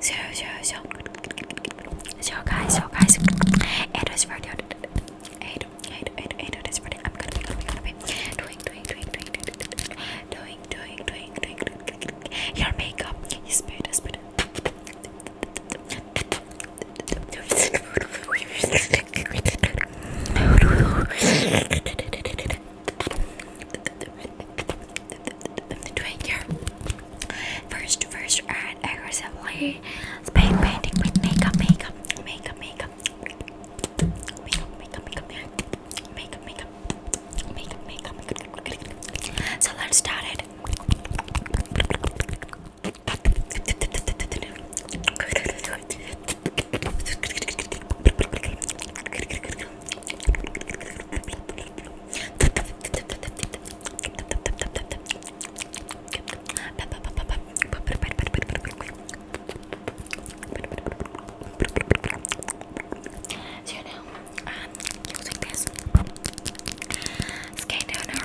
So, so, so, so guys, so guys, it was for the eight, eight, eight, eight. It is for the. I'm gonna be, gonna be, gonna be doing, doing, doing, doing, doing, doing, doing, doing, doing. Your makeup is better, is better. Twitter. First, first and aggressively spray painting with makeup, makeup, makeup, makeup, makeup, makeup, makeup, makeup, makeup, makeup, makeup, makeup. So let's start it. So you know, um, using this skin toner.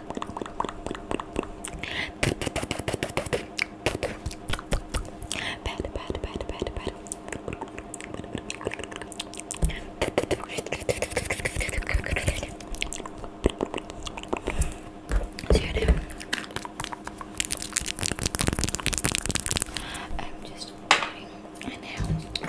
Pat, pat, pat, pat, pat. So you know, I'm just waiting and now I'm using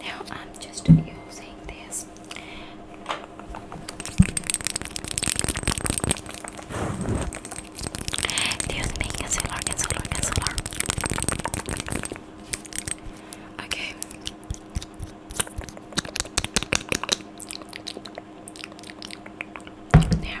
Now I'm just using this. There's me concealer, concealer, concealer. Okay. Now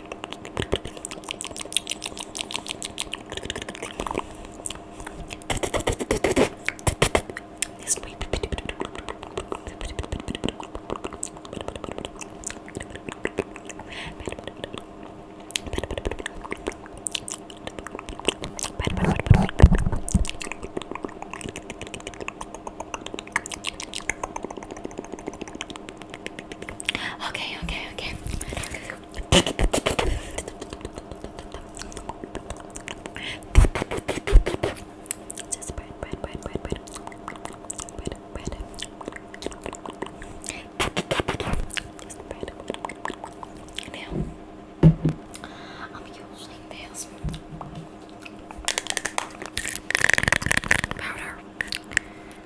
This week. Okay, okay, okay. Just bread, bread, bread, bread, bread. Bread, bread. Just bread. Now, I'm using this powder.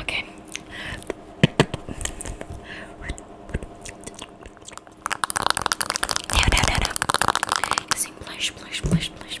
Okay. No, no, no, no. Using blush, blush, blush, blush.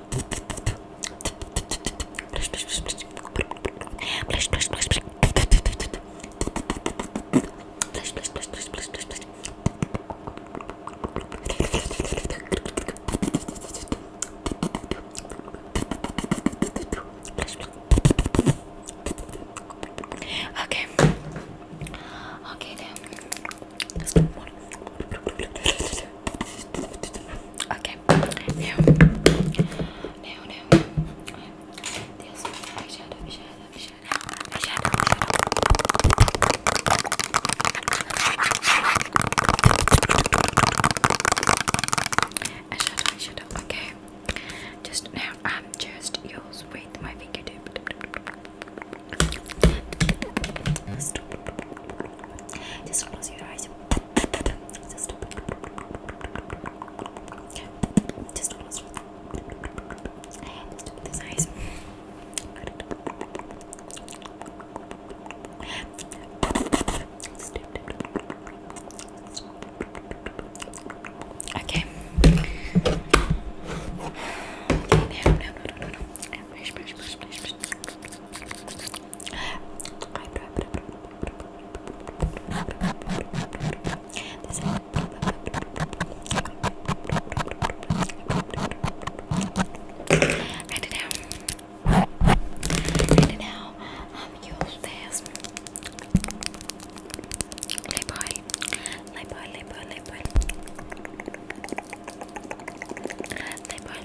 Okay. Okay then. Let's do one. Okay. Now, now, now. This eyeshadow, eyeshadow, eyeshadow, eyeshadow, eyeshadow. Eyeshadow, eyeshadow. Okay. Just now, I'm um, just yours with my fingertip. Stop. Just close your eyes. Okay. no, no, no, no, no. Brush, brush, brush, brush, brush. Write it down. Write it down. Um, you hold this. Lip oil. Lip oil, lip oil, lip oil.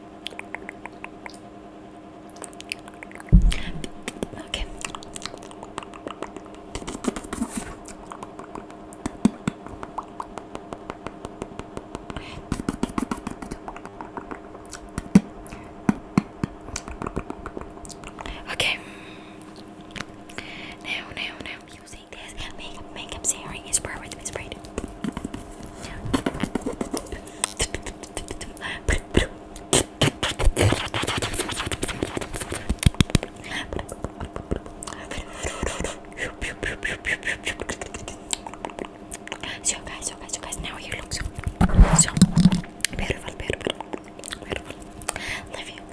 Okay. Okay. Now, now, now, using this makeup, makeup serum is perfect. It's so guys, so guys, so guys, now you look so, so beautiful, beautiful, beautiful. Love you,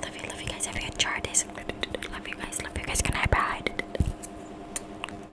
love you, love you guys. Have you enjoyed this? Love you guys, love you guys. Can I bye?